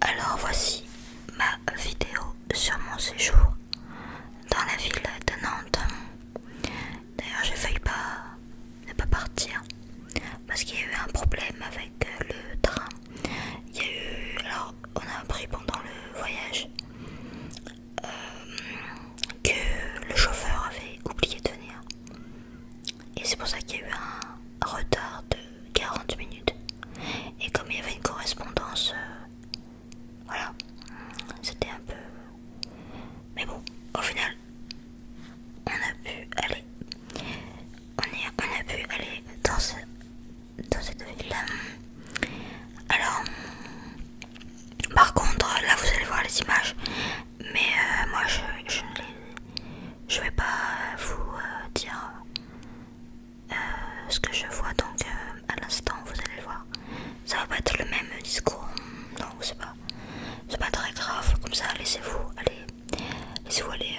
Alors voici ma vidéo sur mon séjour dans la ville de Nantes. D'ailleurs j'ai failli pas ne pas partir parce qu'il y a eu un problème avec euh, le train. Il y a eu alors on a appris pendant le voyage euh, que le chauffeur avait oublié de venir. Et c'est pour ça qu'il y a eu un retard de 40 minutes. Et comme il y avait une correspondance, euh, voilà, c'était un peu... Mais bon, au final, on a pu aller, on, a pu aller dans, dans cette ville. Alors, par contre, là vous allez voir les images, mais euh, moi je, ne les, je vais pas vous euh, dire euh, ce que je vois, donc à l'instant vous allez voir. Ça va pas être le même discours, non c'est pas, c'est pas très grave. Comme ça, laissez-vous aller, laissez-vous aller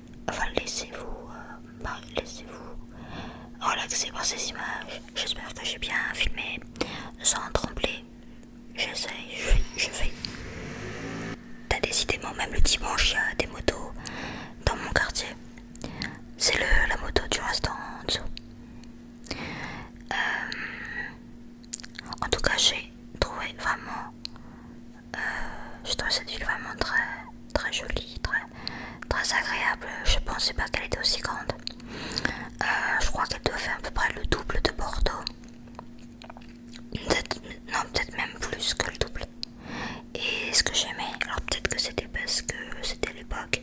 euh, enfin laissez-vous euh, laissez-vous relaxer par ces images. J'espère que j'ai bien filmé sans trembler. J'essaye, je fais, je fais. T'as décidément même le dimanche, il y a des motos dans mon quartier. C'est la moto du restaurant en dessous. Euh, en tout cas, j'ai trouvé vraiment, j'ai je cette ville vraiment très, très jolie, très très agréable. Je pensais pas qu'elle était aussi grande. Euh, je crois qu'elle doit faire à peu près le double de Bordeaux. Peut non, peut-être même plus que le double. Et ce que j'aimais, alors peut-être que c'était parce que c'était l'époque,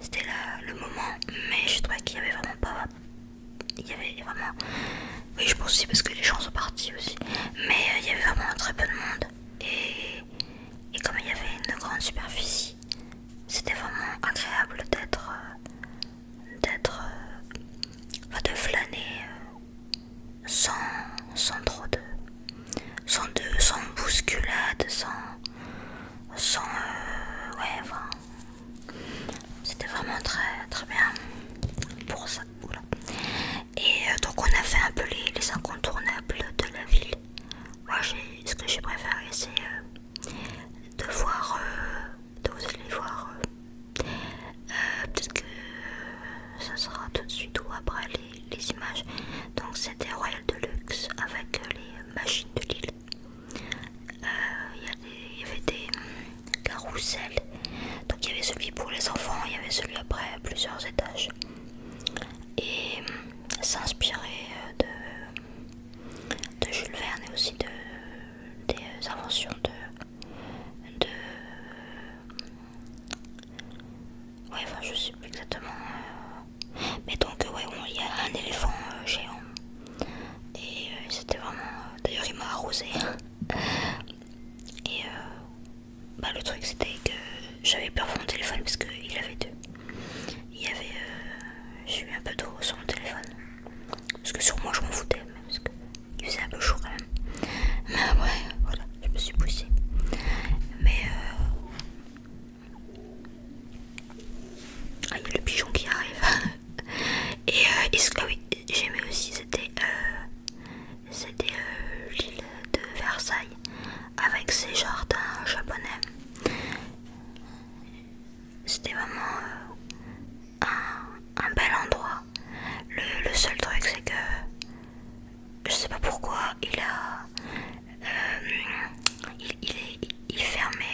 c'était le moment, mais je trouvais qu'il y avait vraiment pas. Il y avait vraiment. Oui, je pense aussi parce que les gens sont partis aussi. Mais euh, il y avait vraiment très peu de monde. Et et comme il y avait une grande superficie, c'était vraiment agréable d'être, euh, d'être, euh, de flâner euh, sans, sans trop de, sans de, sans bousculade, sans, ouais, c'était vraiment très, très bien pour ça. Et euh, donc on a fait un peu les, incontournables de la ville. Moi, ce que j'ai préféré, c'est euh, de voir, de vous allez voir, euh, peut-être que ça sera tout de suite ou après les, images. Donc c'était Royal Deluxe avec les machines de l'île. Il y, avait des hum, carousels. Donc il y avait celui pour les enfants, il y avait celui après plusieurs étages et euh, s'inspirer euh, de, de Jules Verne et aussi de, des euh, inventions de, de Ouais, enfin, je sais plus exactement. Mais donc, ouais, il y a un éléphant géant. Et c'était vraiment. D'ailleurs, il m'a arrosé. et bah, le truc c'était que j'avais peur pour mon téléphone parce qu'il avait deux. Il y avait. Euh, j'ai eu un peu d'eau sur mon téléphone. Parce que sur moi je m'en foutais, parce qu'il faisait un peu chaud quand même. Mais ouais, voilà, je me suis poussée. Mais. Euh, ah, il y a le pigeon qui arrive. Et est-ce euh, que. oui, j'aimais aussi, c'était. C'était euh, l'île de Versailles avec ses jardins japonais. C'était vraiment euh, un, bel endroit. Le, seul truc c'est que je sais pas pourquoi il a euh, il, est, il fermait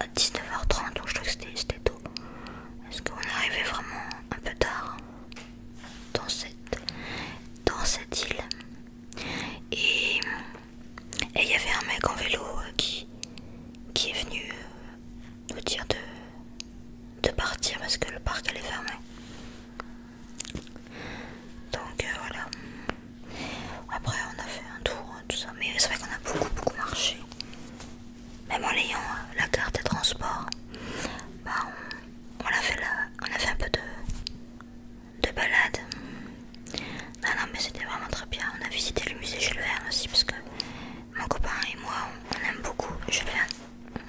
à, 19h30 donc je trouve que c'était tôt. Parce qu'on arrivait vraiment un peu tard dans cette, dans cette île. Et il y avait un mec en vélo euh, qui, qui est venu euh, nous dire de, de partir parce que le parc allait fermer. Donc euh, voilà. Après on a fait un tour, hein, tout ça. Mais c'est vrai qu'on a beaucoup beaucoup marché même en ayant euh, la carte de transport, bah, on, a fait la, on a fait un peu de, de balade. Non, bah, non, mais c'était vraiment très bien. On a visité le musée Jules Verne aussi parce que mon copain et moi, on, aime beaucoup Jules Verne.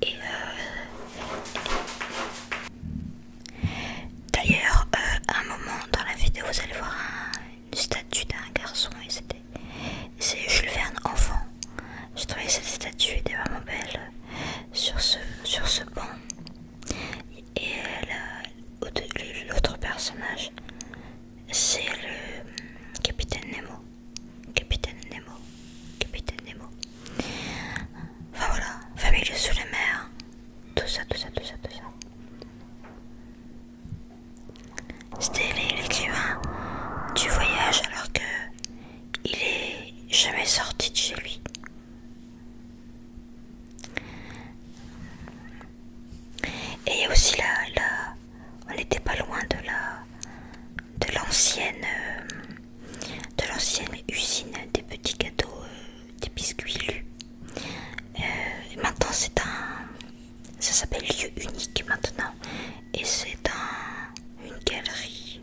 Et euh, d'ailleurs, euh, un moment dans la vidéo, vous allez voir un une statue d'un garçon et c'était c'est Jules Verne enfant. J'ai trouvé cette statue était vraiment belle sur ce sur ce banc et euh, l'autre personnage c'est le hum, capitaine Nemo. Capitaine Nemo, Capitaine Nemo. Enfin voilà, famille sous la mer, tout ça, tout ça, tout ça, tout ça. C'était l'écrivain du voyage, alors que il est jamais sorti de chez lui. Et aussi là, là, on n'était pas loin de la de l'ancienne euh, de l'ancienne usine des petits gâteaux, euh, des biscuits lus. Euh, maintenant c'est un ça s'appelle Lieu Unique maintenant. Et c'est dans une galerie.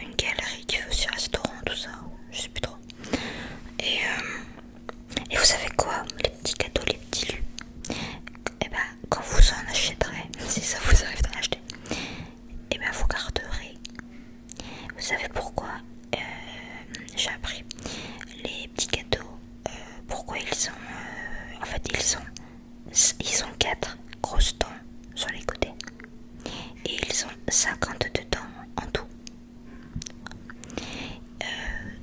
Une galerie qui fait aussi restaurant, tout ça. Je sais plus trop. Et, euh, et vous savez quoi Les petits cadeaux, les petits lus. Et eh ben quand vous en achèterez, si ça vous arrive d'en acheter, et eh ben vous garderez. Vous savez pourquoi euh, j'ai appris les petits cadeaux euh, pourquoi ils sont euh, en fait ils sont ils ont quatre grosses dents sur les côtés et ils ont 52 dents en tout euh,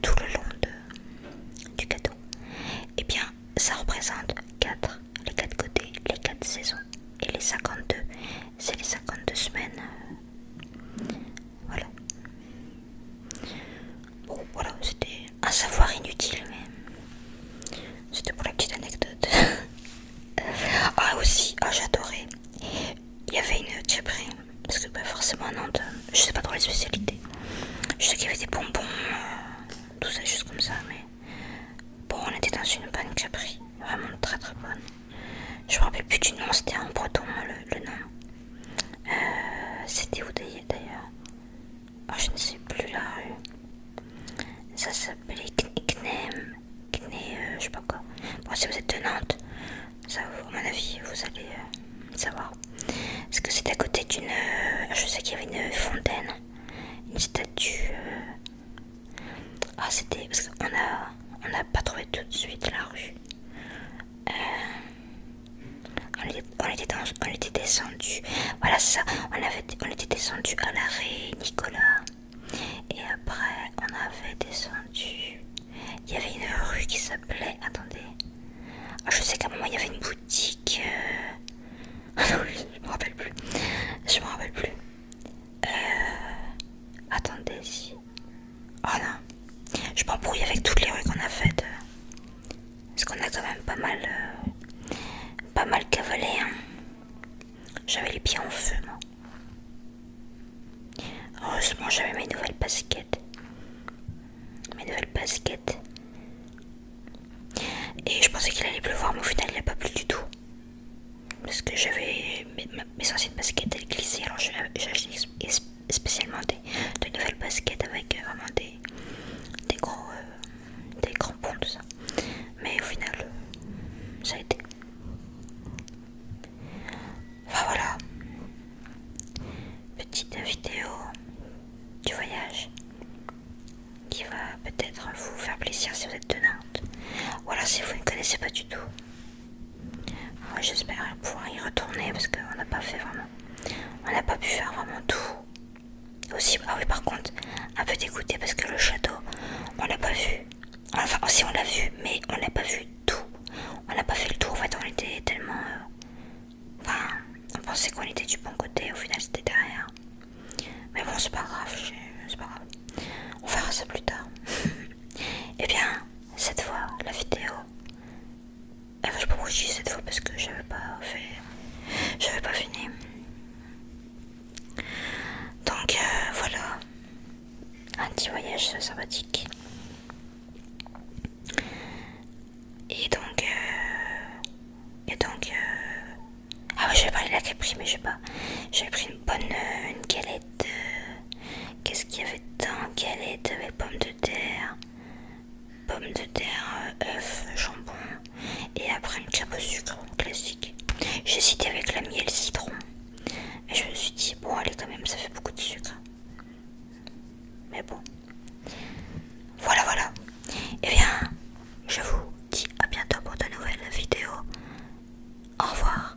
tout le long du cadeau et eh bien ça représente 4 les quatre côtés les quatre saisons et les 52 c'est les 52 semaines voilà Bon voilà, c'était un savoir inutile, mais c'était pour la petite anecdote. ah aussi, ah, j'adorais. Il y avait une chaperie, parce que pas bah, forcément à Nantes, je sais pas trop les spécialités. Je sais qu'il y avait des bonbons, euh, tout ça juste comme ça, mais bon on était dans une bonne chaperie. vraiment très très bonne. Je me rappelle plus du nom, c'était en breton le nom. Euh, c'était où d'ailleurs oh, Je ne sais plus la rue. Ça s'appelait Knem. Kné, euh, je sais pas quoi. si vous êtes de Nantes, ça, à mon avis, vous allez euh, savoir. Parce que c'était à côté d'une. je sais qu'il y avait une fontaine, une statue. Ah, c'était. Parce qu'on a, on a pas trouvé tout de suite la rue. Euh, on, était, descendu, voilà ça, on, était descendu à l'arrêt Nicolas et après on avait descendu, il y avait une rue qui s'appelait, attendez, ah, je sais qu'à un moment il y avait une boutique, euh, ah je me rappelle plus, je me rappelle plus, euh, attendez Oh non, je m'embrouille avec toutes les rues qu'on a faites. Euh. Parce qu'on a quand même pas mal, euh, pas mal cavalé. Hein. J'avais les pieds en feu, moi. Heureusement, j'avais mes nouvelles baskets. Mes nouvelles baskets. Et je pensais qu'il allait pleuvoir, mais au final, il n'y a pas plu du tout. Parce que j'avais mes, mes anciennes baskets, elles glissaient, alors j'ai acheté spécialement des, de nouvelles baskets avec euh, vraiment des, des gros euh, des grands crampons tout ça mais au final euh, ça a été enfin voilà petite vidéo du voyage qui va peut-être vous faire plaisir si vous êtes de Nantes ou alors si vous ne connaissez pas du tout J'espère pouvoir y retourner parce qu'on n'a pas fait vraiment. On n'a pas pu faire vraiment tout. Aussi, ah oui, par contre, un peu dégoûté parce que le château, on l'a pas vu. Enfin, aussi on l'a vu, mais on n'a pas vu tout. On n'a pas fait le tour. En fait, on était tellement. Euh, enfin, on pensait qu'on était du bon côté. Au final, c'était derrière. Mais bon, c'est pas grave. C'est pas grave. On verra ça plus tard. Et eh bien, cette fois, la vidéo ah, je peux rougir cette fois parce que j'avais pas fait. J'avais pas fini. Donc euh, voilà. Un petit voyage sympathique. Et donc. Euh, et donc. Euh, ah je j'avais parlé la Capri, mais je sais pas. J'avais pris une bonne. Euh, une galette. Qu'est-ce qu'il y avait dedans Quelle est de pommes de terre Pommes de terre, euh, œuf, jambon et après une chapeau au sucre classique. J'ai cité avec la miel citron. Et je me suis dit, bon allez quand même, ça fait beaucoup de sucre. Mais bon. Voilà, voilà. Et eh bien, je vous dis à bientôt pour de nouvelles vidéos. Au revoir.